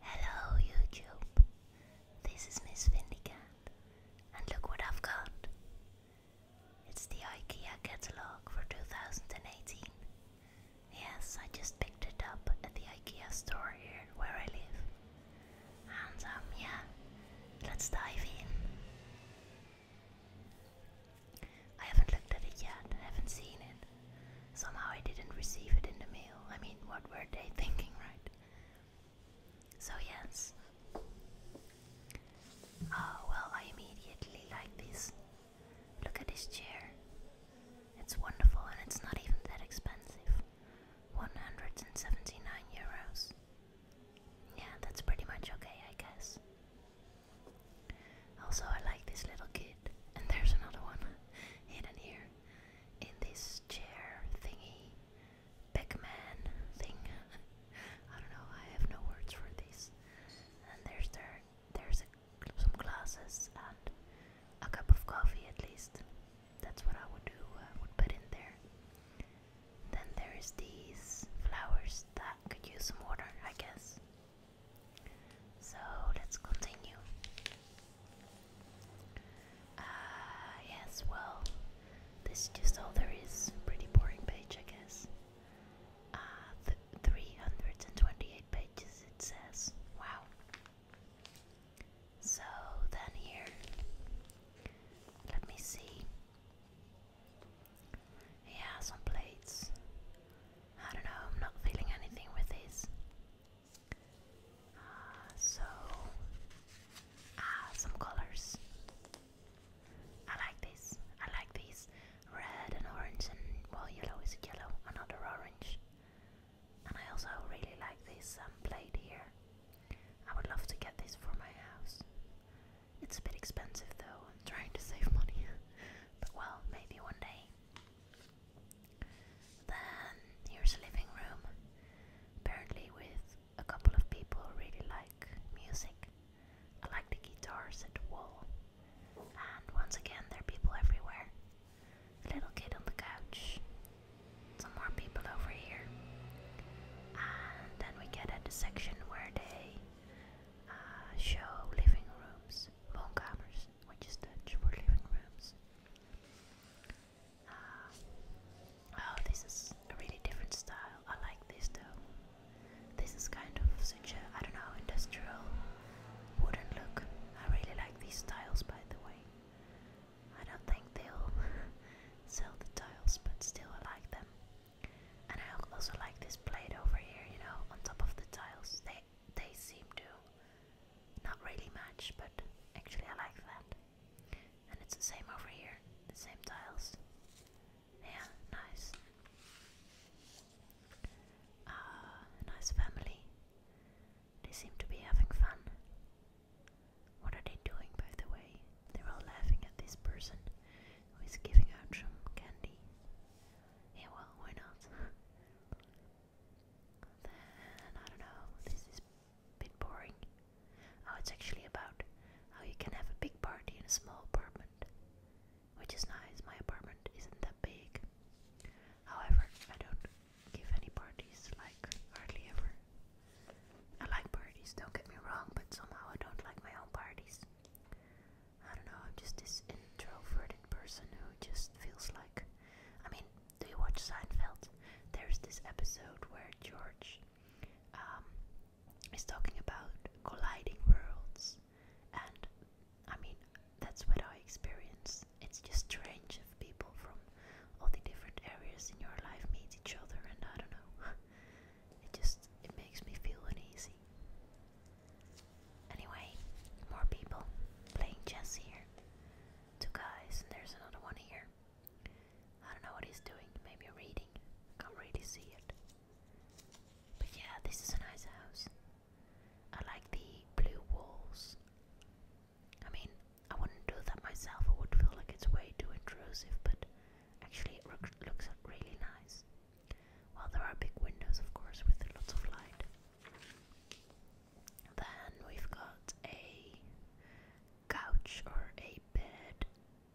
Hello YouTube, this is Miss Vindicat, and look what I've got. It's the IKEA catalogue for 2018. Yes, I just picked it up at the IKEA store here where I live. And um, yeah, let's dive in. I haven't looked at it yet, I haven't seen it. Somehow I didn't receive it in the mail. I mean, what were they thinking, right? So, yes. Oh, well, I immediately like this. Look at this chair. It's wonderful and it's not even that expensive. 179 euros. Yeah, that's pretty much okay, I guess. Also, I like this little kid. And there's another one hidden here in this chair thingy, big man thing. I don't know. I have no words for this. And there's there there's some glasses and a cup of coffee at least. That's what I would do. I uh, would put in there. Then there is these flowers that could use some water, I guess. So let's continue. Ah, yes, well, this is just all there is. Pretty boring page, I guess. Ah, uh, 328 pages it says. Wow. So then here, let me see. Yeah, some plates. I don't know, I'm not feeling anything with this. Uh, so, ah, some colors. I like this. I like these red and orange, and well, yellow is yellow, another orange. And I also really like this um, here. I would love to get this for my house. It's a bit expensive though, I'm trying to save money. but well, maybe one day. Then here's a living room, apparently with a couple of people who really like music. I like the guitars at the wall. And once again, there are people everywhere. A little kid on the couch. Some more people over here. And then we get at the section where they uh, show living rooms, woonkamers, which is Dutch for living rooms oh, this is a really different style. I like this though. This is kind of such a, I don't know, industrial wooden look. I really like these styles, by the way. I don't think they'll sell the tiles, but still I like them. And I also like this plate over here, you know, on top of the tiles they seem to not really match, but actually I like that. And it's the same over here, the same tiles. Yeah, nice. Ah, nice family. They seem to be having fun. What are they doing, by the way? They're all laughing at this person who is giving out some candy. Yeah, well, why not? Then I don't know. This is a bit boring. Oh, it's actually about how you can have a big party in a small apartment, which is nice. My apartment isn't that big. However, I don't give any parties. Like hardly ever. I like parties. Don't get me wrong, but somehow I don't like my own parties. I don't know, I'm just this introverted person who just feels like I mean, do you watch Seinfeld? There's this episode where George um, is talking about colliding worlds, and I mean, that's what I experience. It's just strange if people from all the different areas in your life meet each other, and I don't know. it just it makes me feel uneasy. Anyway, more people playing chess here. Two guys, and there's another one here. I don't know what he's doing, maybe reading. Can't really see it. But yeah, this is a nice house. I like the blue walls. I mean, I wouldn't do that myself, I would feel like it's way too intrusive, but actually, it looks really nice. Well, there are big windows, of course, with lots of light. Then we've got a couch or a bed.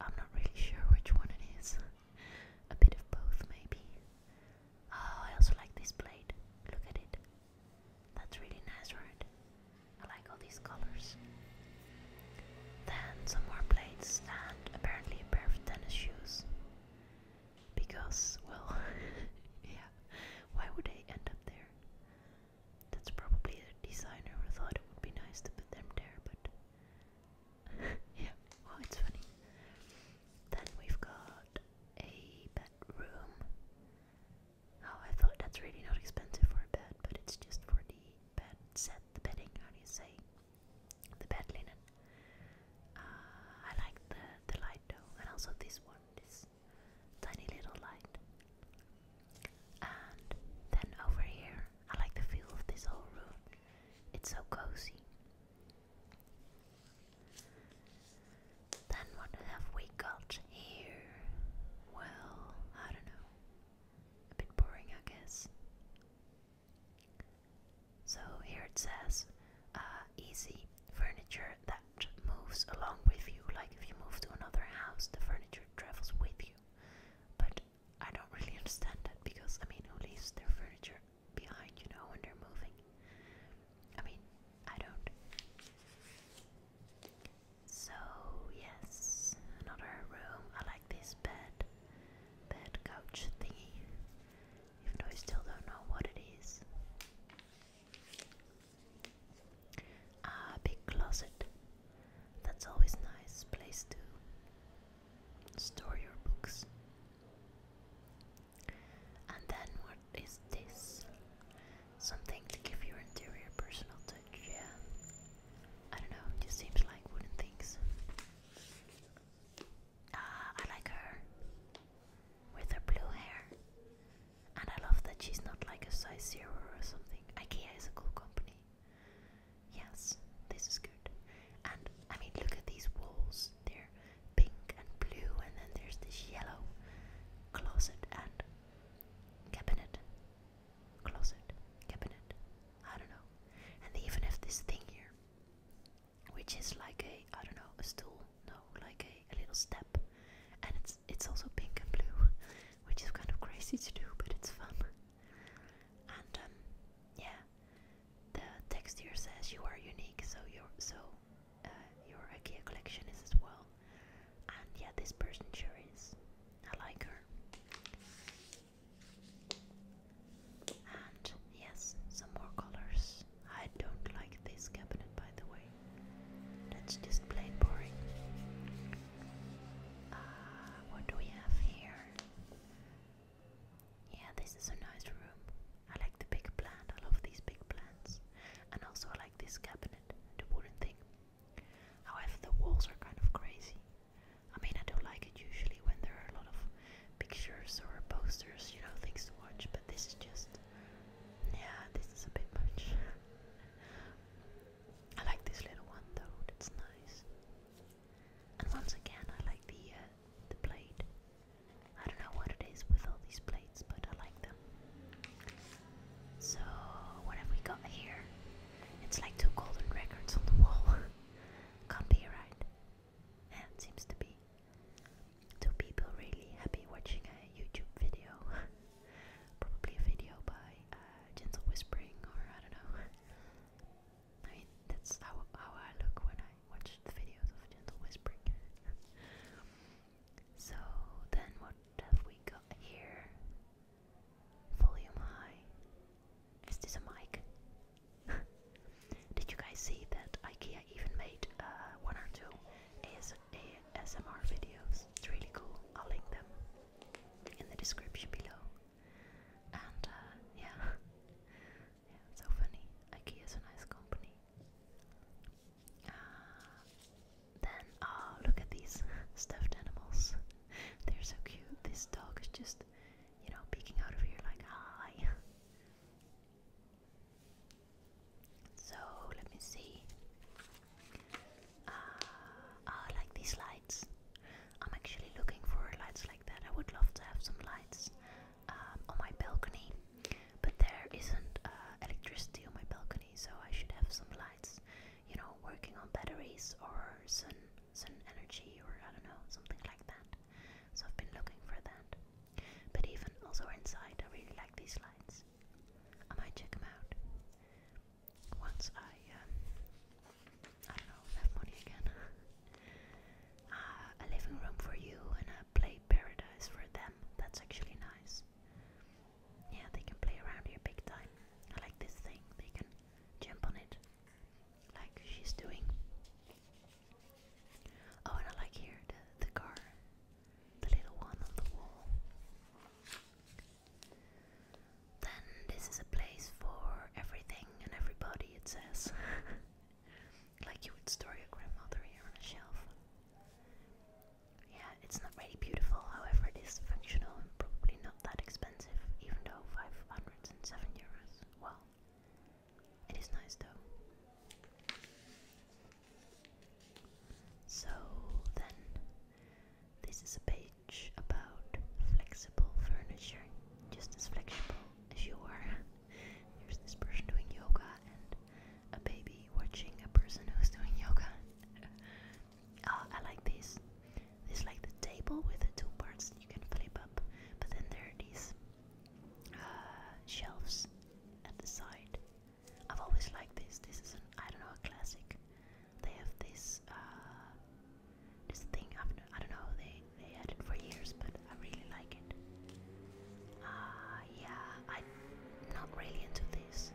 I'm not really sure which one it is. a bit of both, maybe. Oh, I also like this plate. Look at it. That's really nice, right? I like all these colors. Then some more plates and apparently a pair of tennis shoes. Because, well, yeah, why would they end up there? That's probably the designer who thought it would be nice to put them there, but. yeah, well, it's funny. Then we've got a bedroom. Oh, I thought that's really not expensive for a bed, but it's just for the bed set, the bedding, how do you say? The bed linen. Uh, I like the the light though, and also this one, this tiny little light. And then over here, I like the feel of this whole room. It's so cozy. Then what have we got here? Well, I don't know. A bit boring, I guess. So here it says uh, easy furniture that moves along with you. Like if you move to another house, the furniture travels with you. But I don't really understand that because I mean, who leaves their furniture behind, you know, when they're moving? I mean, I don't. So, yes, another room. I like this bed, bed couch thingy even though I still don't know what it is. Ah, big closet. That's always nice place to store your books. And then what is this? Something to give your interior personal touch, yeah. I don't know, just seems like wooden things. Ah, I like her with her blue hair, and I love that she's not like a size zero or something. IKEA is a cool company. Yes, this is good. And I mean, look at these walls. They're pink and blue, and then there's this yellow closet and cabinet. Closet, cabinet. I don't know. And they even have this thing here which is like a I don't know a stool, no, like a, little step, and it's it's also pink and blue, which is kind of crazy to do, but it's fun. And um, yeah, the text here says you are unique, so you're so uh, your IKEA collection is as well. And yeah, this person sure is. I like her. And yes, some more colors. I don't like this cabinet, by the way. That's just plain boring. Uh, what do we have here? Yeah, this is a nice room. I like the big plant. I love these big plants. And also, I like this cabinet, the wooden thing. However, the walls are kind of crazy. I mean, I don't like it usually when there are a lot of pictures or posters, you know, things to watch, but this is just, yeah, this is a bit much. I like this little one though, that's nice. And once again, I like the uh, the blade. I don't know what it is with all these blades, but I like them. So, what have we got here? It's like two golden records on the wall. Can't be right and seems to be. two people really happy watching a YouTube video, probably a video by uh, Gentle Whispering or I don't know. I mean that's how how I look when I watch the videos of Gentle Whispering. so then what have we got here? Volume high. Is this a mic? Did you guys see that IKEA even made uh, one or two AS ASMR videos? It's really cool. I'll link them in the description below. And uh, yeah, yeah, so funny. IKEA is a nice company. Uh, then, oh, look at these stuffed animals. They're so cute. This dog is just, you know, peeking out of here like, hi. So let me see. Uh, I like these lights. I'm actually looking for lights like that. I would love to have some lights um, on my balcony, but there isn't uh, electricity on my balcony, so I should have some lights. You know, working on batteries or sun sun energy or I don't know something like that. So I've been looking for that. But even also inside, I really like these lines. I might check them out once I, um, I don't know, have money again. uh, a living room for you and a play paradise for them. That's actually nice. Yeah, they can play around here big time. I like this thing. They can jump on it, like she's doing. Oh, and I like here the, the car, the little one on the wall. Then this is a place for everything and everybody, it says. like you would store your grandmother here on a shelf. Yeah, it's not really beautiful, however, it is functional and probably not that expensive, even though 507 euros. Well, it is nice though. So then, this is a page about flexible furniture, just as flexible as you are. There's this person doing yoga and a baby watching a person who's doing yoga. Ah, I like this. This is like the table with the two parts you can flip up, but then there are these uh, shelves at the side. I've always liked this. This is an I don't know a classic. They have this uh, this thing. I've, I i do not know. They they had it for years, but I really like it. Uh, yeah, I'm not really into this.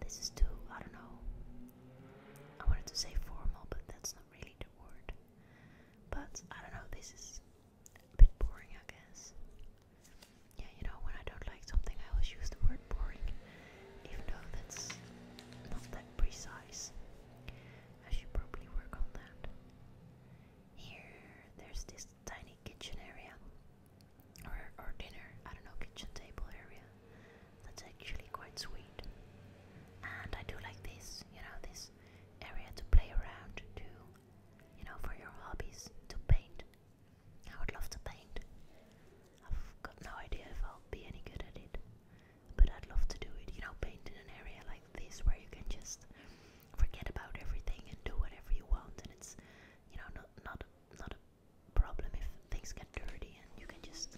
This is too I don't know. I wanted to say formal, but that's not really the word. But I don't know. This is a bit boring, I guess. Yeah, you know, when I don't like something, I always use the word boring, even though that's not that precise. I should probably work on that. Here, there's this tiny kitchen area, or, or dinner, I don't know, kitchen table area. That's actually quite sweet. And I do like this, you know, this area to play around, to you know, for your hobbies to paint. I would love to paint. I've got no idea if I'll be any good at it, but I'd love to do it. You know, paint in an area like this where you can just forget about everything and do whatever you want, and it's, you know, not not not a problem if things get dirty, and you can just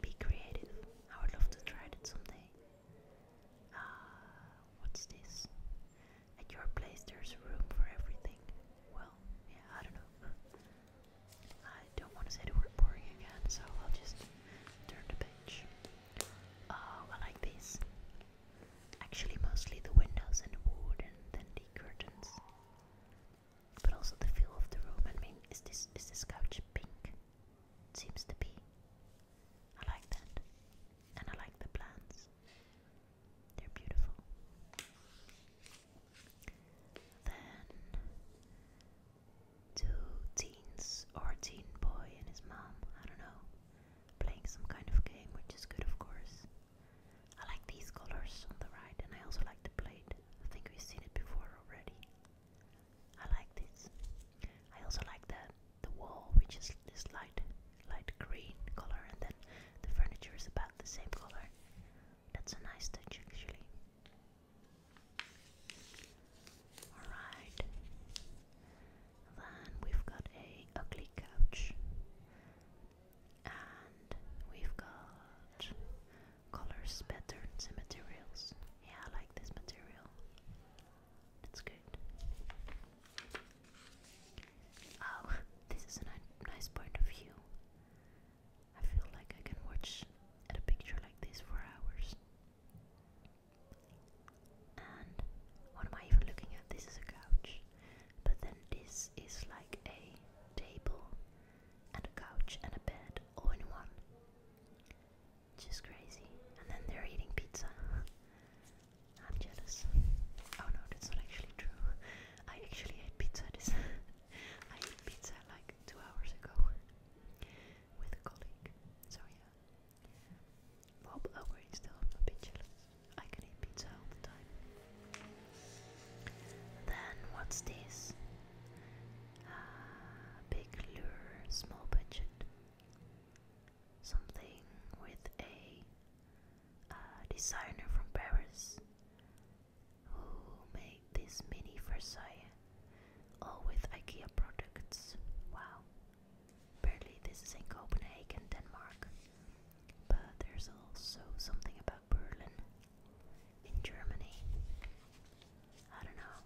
be creative. I would love to try it someday. Uh, what's this? At your place, there's room for everything. Well, yeah, I don't know. I don't want to say the word boring again, so I'll just turn the page. Oh, I like this. Actually, mostly the windows and the wood, and then the curtains. But also the feel of the room. I mean, is this is this couch pink? seems to be. I like that. And I like the plants. They're beautiful. Then two teens or teen boy and his mom, I don't know, playing some kind of game, which is good of course. I like these colors on the right and I also like the blade. I think we've seen it before already. I like this. I also like the the wall, which is this light light green color, and then the furniture is about the same color. That's a nice touch, actually. Alright. Then we've got a ugly couch. And we've got colors, patterns and materials. Yeah, I like this material. That's good. Oh, this is a nice point of view. I feel like I can watch at a picture like this for hours. And what am I even looking at? This is a couch. But then this is like a table and a couch and a bed all in one. Just crazy. And then they're eating pizza. I'm jealous. Oh no, that's not actually true. I actually ate pizza I ate pizza like two hours ago with a colleague. So yeah. Bob Owen oh, still I'm a jealous. I can eat pizza all the time. Then what's this? Uh, big lure, small budget something with a uh, designer from Paris who made this mini Versailles, all with IKEA products. Wow. Apparently, this is in Copenhagen, Denmark, but there's also something about Berlin in Germany. I don't know.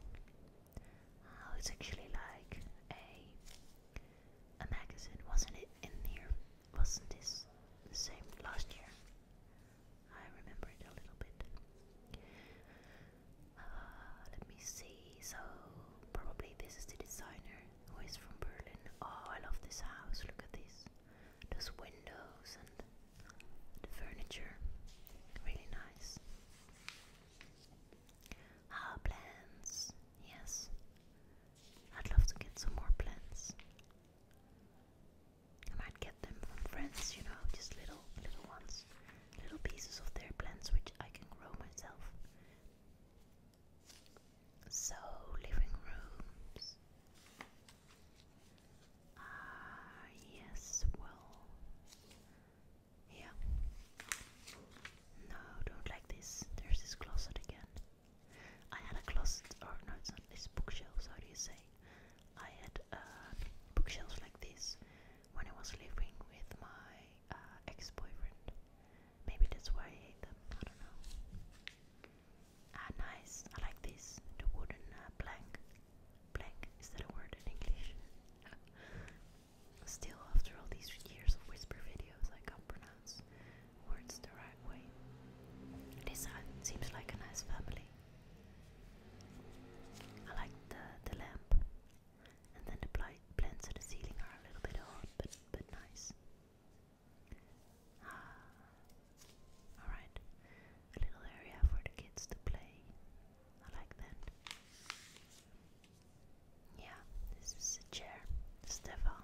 Oh, it's actually like a a magazine, wasn't it? In here, wasn't this the same last year? I remember it a little bit. Uh, let me see. So probably this is the designer who is from Berlin. Oh, I love this house. Look at this. Those windows and the furniture. Really nice. Ah, plants. Yes. I'd love to get some more plants. I might get them from friends, you know, just little, little ones. Little pieces of their plants which I can grow myself. So, living rooms. Ah, yes, well, yeah. No, don't like this. There's this closet again. I had a closet, or no, it's not. It's bookshelves. How do you say? I had uh, bookshelves like this when I was living with my uh, ex-boyfriend. Maybe that's why I hate them. I don't know. Ah, nice. I like this. The wooden plank. Uh, plank. Is that a word in English? Still, after all these years of whisper videos, I can't pronounce words the right way. This seems like a nice family. I like the, the lamp, and then the plants at the ceiling are a little bit odd, but, but nice. Ah, alright. A little area for the kids to play. I like that. Yeah, this is a chair. Stefan.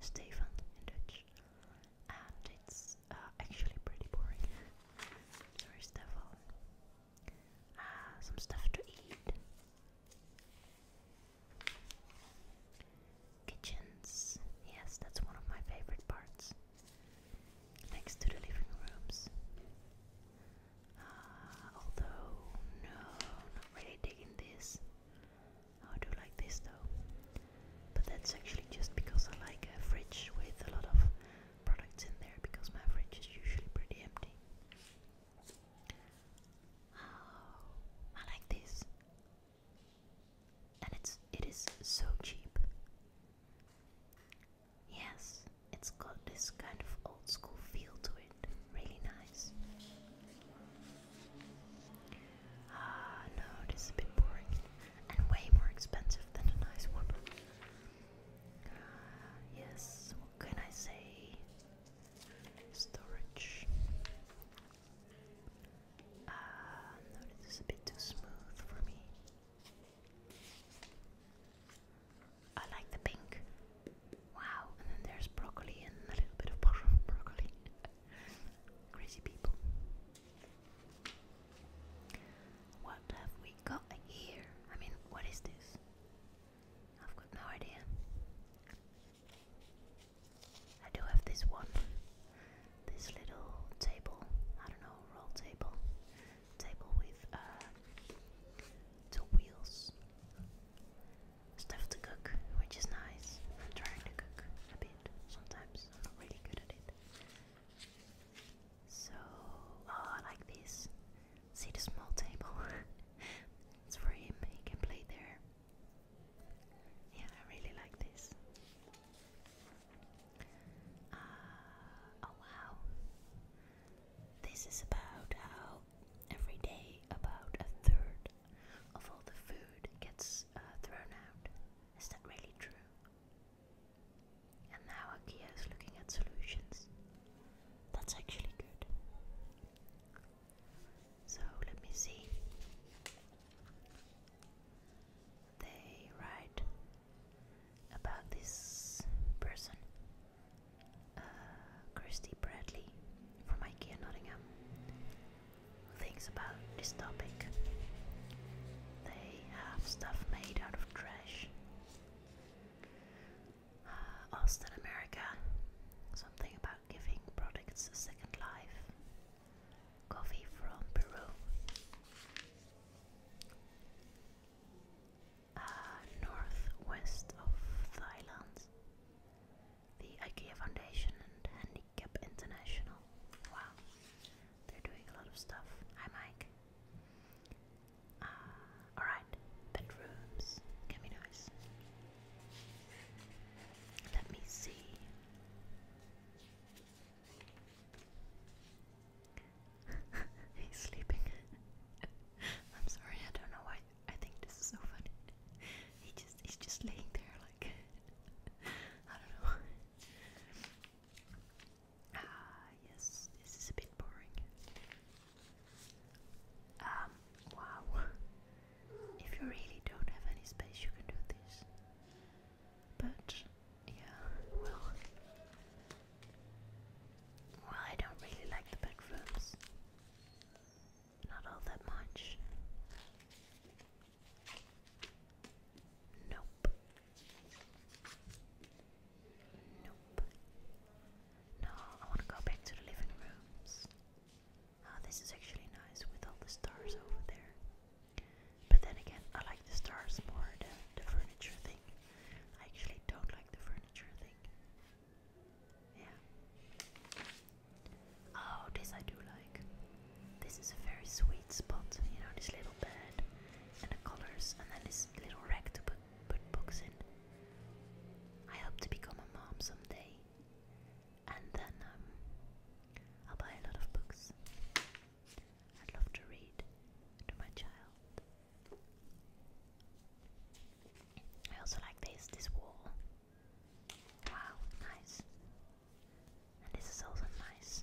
Stefan in Dutch. And it's uh, actually pretty boring. Sorry, Stefan. Uh, some stuff to eat. Kitchens. Yes, that's one of my favorite parts. Next to the living rooms. Uh, although, no, not really digging this. Oh, I do like this though. But that's actually just because I like a fridge with a lot of products in there because my fridge is usually pretty empty. Oh, I like this. And it's it is so cheap. Yes, it's got this kind of old school feel to it. Really nice. Ah, no, this a bit boring and way more expensive than the nice one. Ah, yes, what can I say? Storage. Ah, no, this a bit too smooth for me. I like the pink. Wow, and then there's broccoli and a little bit of bro broccoli. Crazy people. What have we got here? I mean, what is this? I've got no idea. I do have this one. This little table. I don't know, roll table table with uh, two wheels. Stuff to cook, which is nice. I'm trying to cook a bit sometimes. I'm not really good at it. So, oh, like this. See the small table? it's for him, he can play there. Yeah, I really like this. Uh, oh wow. This is about how every day about a third of all the food gets uh, thrown out. Is that really true? And now IKEA is looking at solutions. That's actually good. So let me see. They write about this person, uh, Christy Bradley from IKEA Nottingham, thinks about this topic. They have stuff made out of trash. Uh, Austin, America, something about giving products a second life. Coffee from Peru uh, northwest of Thailand. The IKEA Foundation and Handicap International. Wow, they're doing a lot of stuff. Hi, Mike. Uh, alright, bedrooms can be nice. Let me see. He's sleeping. I'm sorry, I don't know why. I think this is so funny. He just he's just laying there like I don't know. Ah yes, this is a bit boring. Um wow. If you really don't have any space you can do this. But yeah, well. Well, I don't really like the bedrooms. Not all that much. Nope. Nope. No, I want to go back to the living rooms. Oh, this is actually nice with all the stars over there. But then again, I like the stars more the furniture thing. I actually don't like the furniture thing. Yeah. Oh, this I do like. This is a very sweet spot, you know, this little bed and the colors, and then this little rack to put, put books in. I hope to become a mom someday, and then um, I'll buy a lot of books. I love to read to my child. I also like this this wall. Wow, nice. And this is also nice.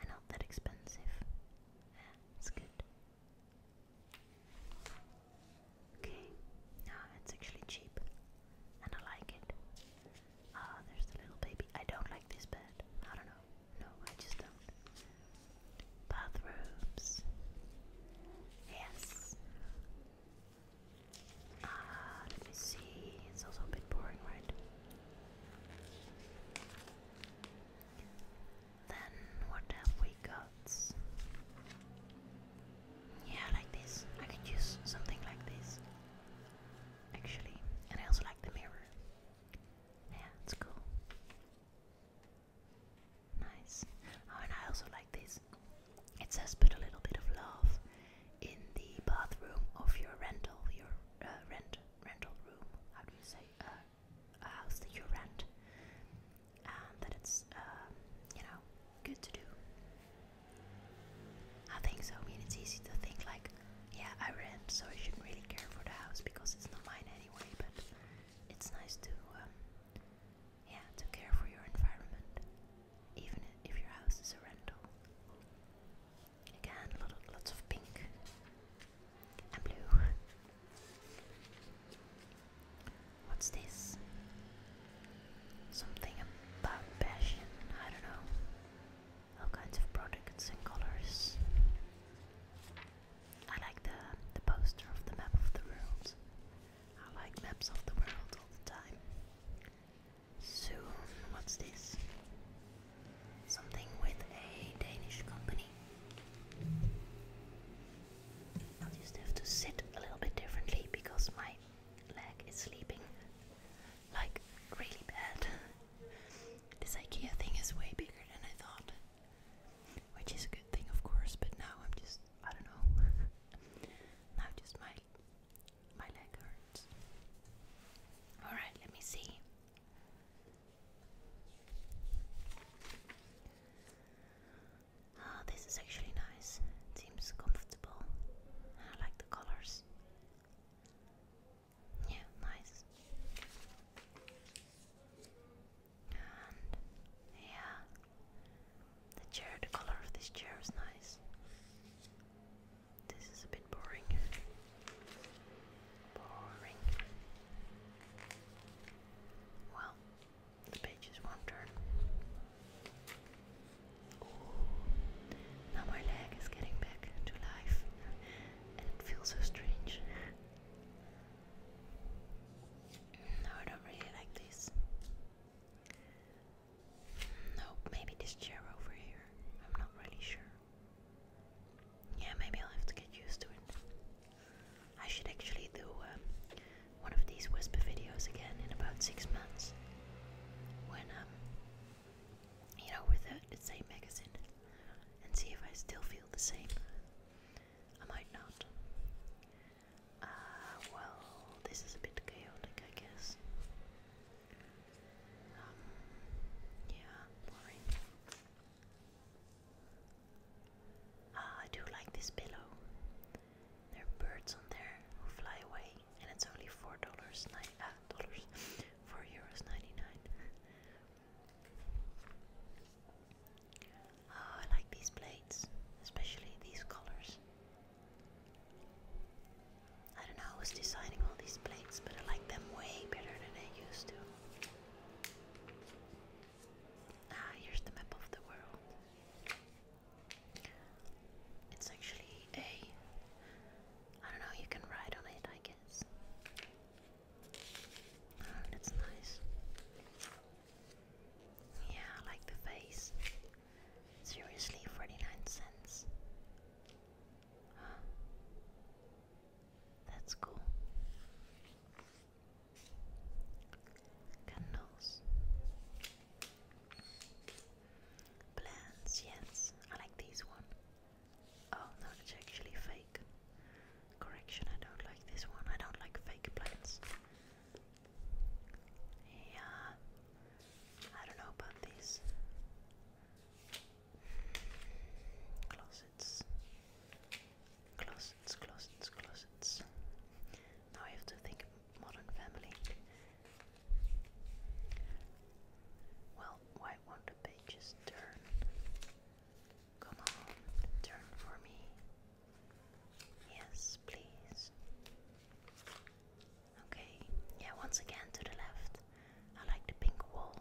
And not that expensive. Yeah, good. Okay, now it's actually cheap. And I like it. Ah, there's the little baby. I don't like this bed. I don't know. No, I just don't. Bathrooms. Yes. Ah, let me see. It's also a bit boring, right? Then what have we got? Yeah, like this. I could use something like this. Actually, and I also like the mirror. Yeah, it's cool. Nice. Oh, and I also like this. It says put a little bit of love in the bathroom of your rental, your uh, rent rental room. How do you say uh, a house that you rent? And um, that it's um, you know good to do. I think so. I mean, it's easy to think like, yeah, I rent, so I shouldn't really care for the house because it's not mine anyway, but it's nice to um, yeah, to care for your environment, even if your house is a rental. Again, lots of pink and blue. What's this? Something about passion, I don't know all kinds of products and colors. I like the the poster of the map of the world. I like maps of the world all the time. Soon, what's this? Something with a Danish company. i just have to sit a little bit differently because my leg is sleeping like really bad. This IKEA thing is way bigger than I thought. Which is a good thing, of course, but now I'm just, I don't know. now just my my leg hurts. Alright, let me see. Ah, this is actually nice. seems comfortable. I like the colors. Yeah, nice. And yeah, the chair, the color of this chair is nice. This is a bit boring. Boring. Well, the page is one turn. Now my leg is getting back to life it feels so strange. No, I don't really like this. No, maybe this chair over here. I'm not really sure. Yeah, maybe I'll have to get used to it. I should actually do um, one of these whisper videos again in about six months when um, you know, with the same magazine and see if I still feel the same. I might not. Uh, well, this is a bit chaotic, I guess. Um, yeah, boring. Ah, I do like this pillow. There are birds on there who fly away, and it's only four dollars nine uh, dollars four euros ninety nine. Oh, I like these plates, especially these colors. I don't know who's designing all these plates, but I like them way better than I used to. Ah, here's the map of the world. It's actually a. I don't know, you can ride on it, I Ah, that's nice. Yeah, I like the face. Seriously, 49 cents. That's cool. Candles. Plants, yes, I like these one. Oh no, it's actually fake. Correction, I don't like this one. I don't like fake plants. Yeah, I don't know about these closets, closets, closets, closets. Now I have to think modern family. Well, why won't the pages turn? Come on, turn for me. Yes, please. Okay, yeah, once again to the left. I like the pink wall.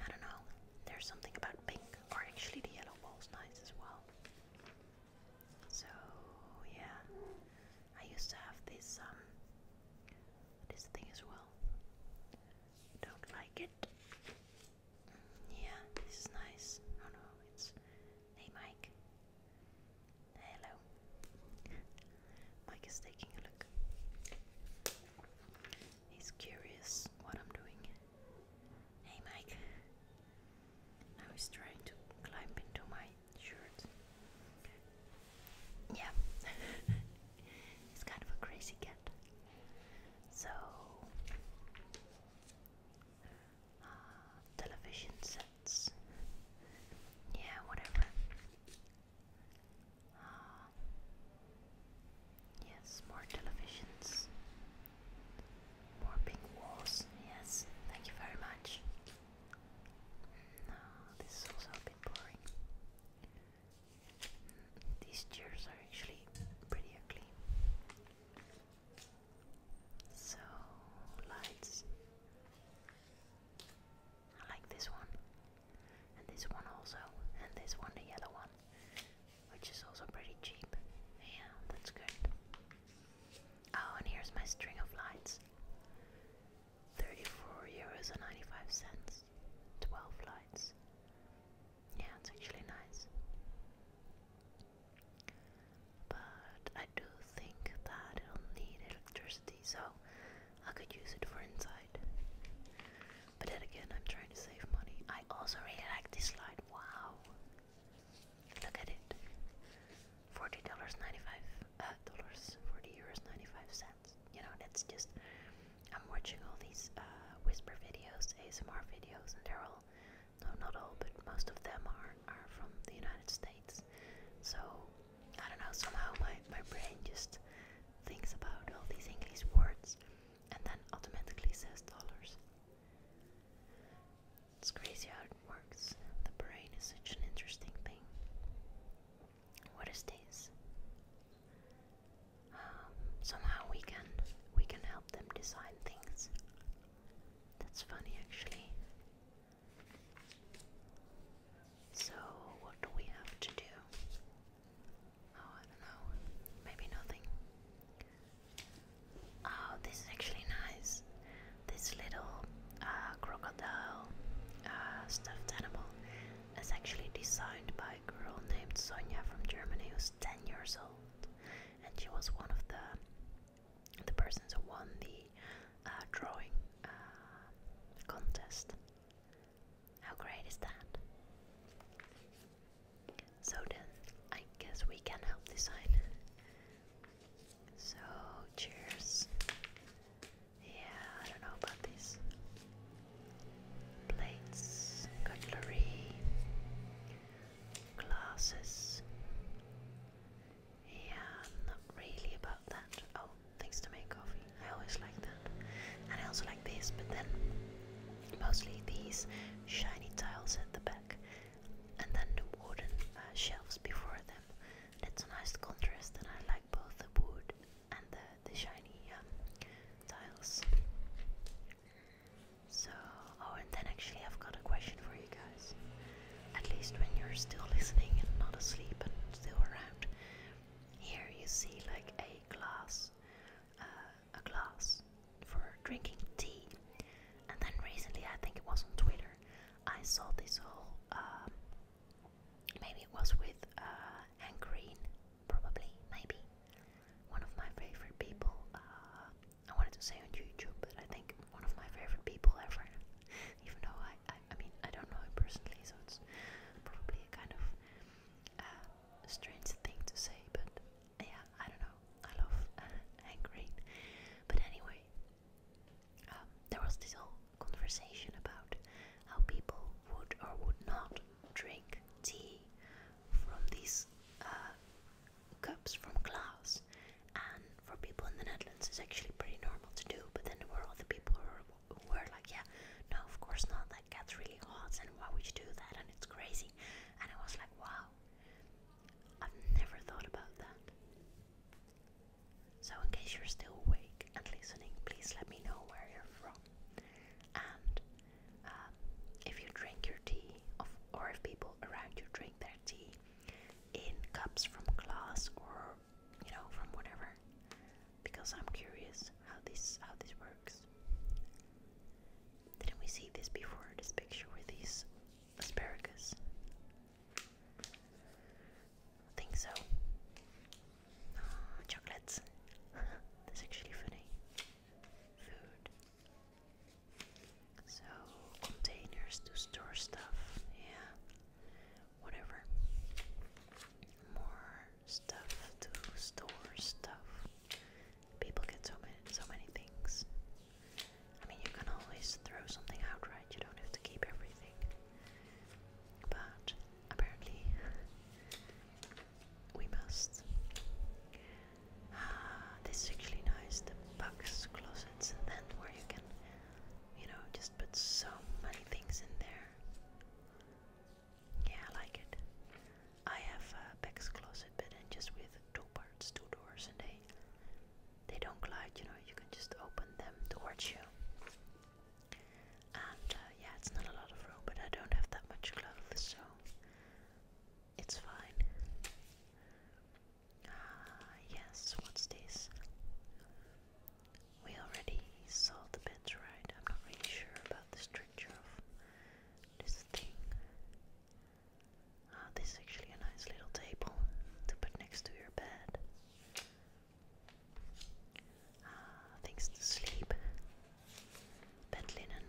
I don't know, there's something about pink, or actually the yellow wall's nice as well. So, yeah, I used to have this um, this thing as well. Don't like it. Mm, yeah, this is nice. Oh no, it's Hey Mike. Hello. Mike is taking a look. He's curious what I'm doing. Hey Mike. Now he's trying to climb into my shirt. Yeah, he's kind of a crazy cat. So, uh, television sets. Yeah, whatever. Uh, yes, more televisions. More pink walls. Yes, thank you very much. No, this is also a boring. These chairs are actually pretty ugly. So, lights. I like this one, and this one also, and this one, the yellow one, which is also pretty cheap. Yeah, that's good. Oh, and here's my string of lights. 34 euros and 95 cents, 12 flights. Yeah, it's actually nice. But I do think that it'll need electricity, so I could use it for inside. But then again, I'm trying to save money. I also really like this slide. Wow! Look at it. $40.95, uh, dollars, 40 euros 95 sense. You know, it's just I'm watching all these uh, whisper videos, ASMR videos, and they're all no, not all, but most of them are are from the United States. So I don't know. Somehow my my brain just thinks about all these English words, and then automatically says dollars. It's crazy how it works. The brain is such an interesting thing. What is this? Um, somehow we can we can help them design things. That's funny actually. So what do we have to do? Oh, I don't know. Maybe nothing. Oh, this is actually nice. This little uh, crocodile, uh, stuffed animal is actually designed by a girl named Sonia from Germany who's 10 years old. And she was one of the, the persons who won the uh, drawing uh, contest. How great is that? So then, I guess we can help design. So, cheers. Yeah, I don't know about this. Plates, cutlery, glasses. Yeah, not really about that. Oh, things to make coffee. I always like that. And I also like this, but then mostly these shiny tiles at the back. And then the wooden uh, shelves before them. That's a nice contrast, and I like both the wood and the, the shiny um, tiles. So, oh, and then actually, I've got a question for you guys. At least when you're still listening and not asleep and still around, here you see like a glass, uh, a glass for drinking tea. And then recently, I think it was on Twitter, I saw this whole um, Maybe it was with uh, Hank Green, probably, maybe. One of my favorite people, uh, I wanted to say on YouTube, but I think one of my favorite people ever. Even though I, I, I mean, I don't know him personally, so it's probably a kind of uh, strange thing to say, but yeah, I don't know. I love uh, Hank Green. But anyway, um, there was this whole conversation about how people would or would not drink tea from these uh, cups from glass. And for people in the Netherlands, it's actually pretty normal to do. But then there were other people who were like, "Yeah, no, of course not. That gets really hot, and why would you do that? And it's crazy." And I was like, "Wow, I've never thought about that." So, in case you're still awake and listening, please let me know where you're from. And um, if you drink your tea, of, or if people around you drink their tea in cups from glass or you know from whatever, because I'm curious how this how this works. Didn't we see this before? This picture with these asparagus. I think so. Ah, chocolates. That's actually funny. Food. So, containers to store stuff. Yeah. Whatever. More stuff to store stuff. People get so many, so many things. I mean, you can always throw something out, right? You don't have to keep everything. But apparently, we must. Ah, this is actually nice the box closets, then where you can, you know, just put so many things in there. Yeah, I like it. I have a box closet, but then just with two parts, two doors, and they they don't collide. You know, you can just open them towards you. And uh, yeah, it's not a lot of room, but I don't have that much clothes, so it's fine. Ah, uh, yes, what's this? We already saw the bed, right? I'm not really sure about the structure of this thing. Ah, uh, this is actually a nice little table to put next to your bed. Ah, things to sleep, bed linen.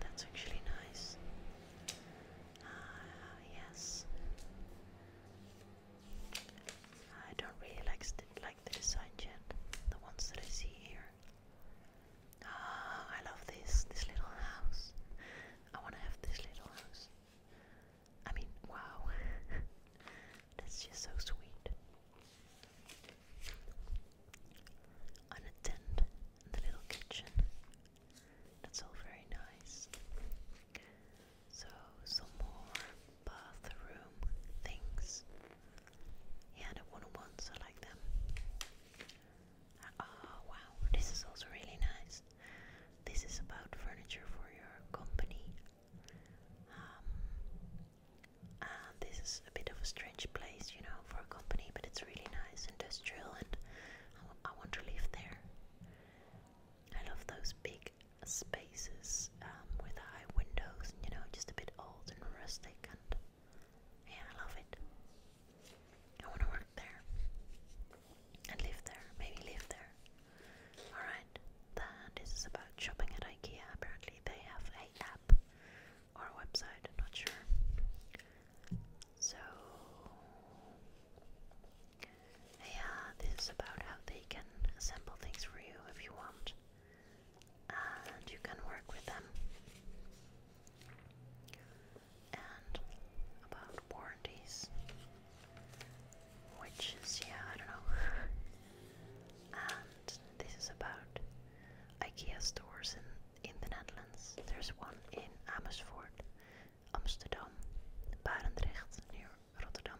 That's actually nice. Uh, yes. I don't really like, like the design yet, the ones that I see here. Ah, I love this, this little house. I want to have this little house. I mean, wow. That's just so sweet. On the little kitchen. That's all very nice. So, some more bathroom things. Yeah, the one on ones, I like them. Uh, wow, this is also really nice. This is about furniture for your company. Um, uh, this is a bit of a strange place, you know, for a company, but it's really nice, industrial, and I, I want to live there. I love those big spaces um, with high windows, and, you know, just a bit old and rustic, and yeah, I love it. I want to work there and live there. Maybe live there. Alright, then this is about shopping at IKEA. Apparently, they have a app or a website, I'm not sure. So, yeah, this is about how they can assemble things for you if you want, and you can work with them. and about warranties, which is, yeah, I don't know. and this is about IKEA stores in, in the Netherlands. There's one in Amersfoort, Amsterdam, Barendrecht near Rotterdam,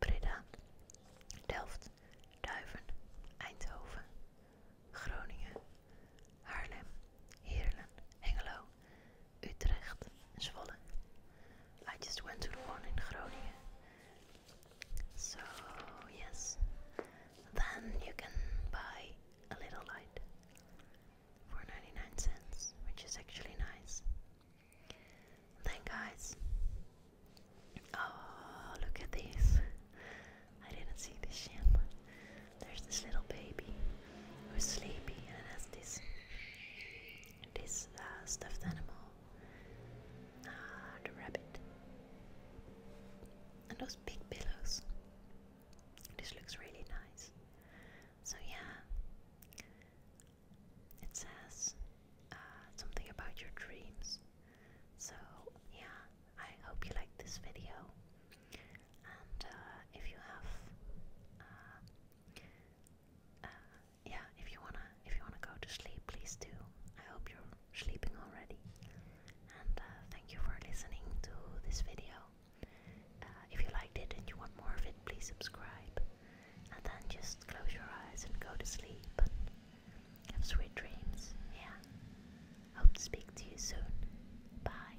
Breda, Delft, Duiven, Eindhoven, Groningen, Haarlem, Heerlen, Engelo. Utrecht Zwolle. I just went to the one in Groningen. So, yes. Then you can buy a little light for 99 cents, which is actually nice. Then, guys, oh, look at this. I didn't see this yet there's this little baby who's sleepy and has this this uh, stuffed animal, ah, uh, the rabbit, and those big pillows. This looks really nice. So yeah, it says uh, something about your dreams. So yeah, I hope you liked this video. And if you have uh, yeah, if you wanna, if you wanna go to sleep, please do. I hope you're sleeping already. And uh, thank you for listening to this video. Uh, if you liked it and you want more of it, please subscribe. And then just close your eyes and go to sleep. have sweet dreams. Yeah. Hope to speak to you soon. Bye.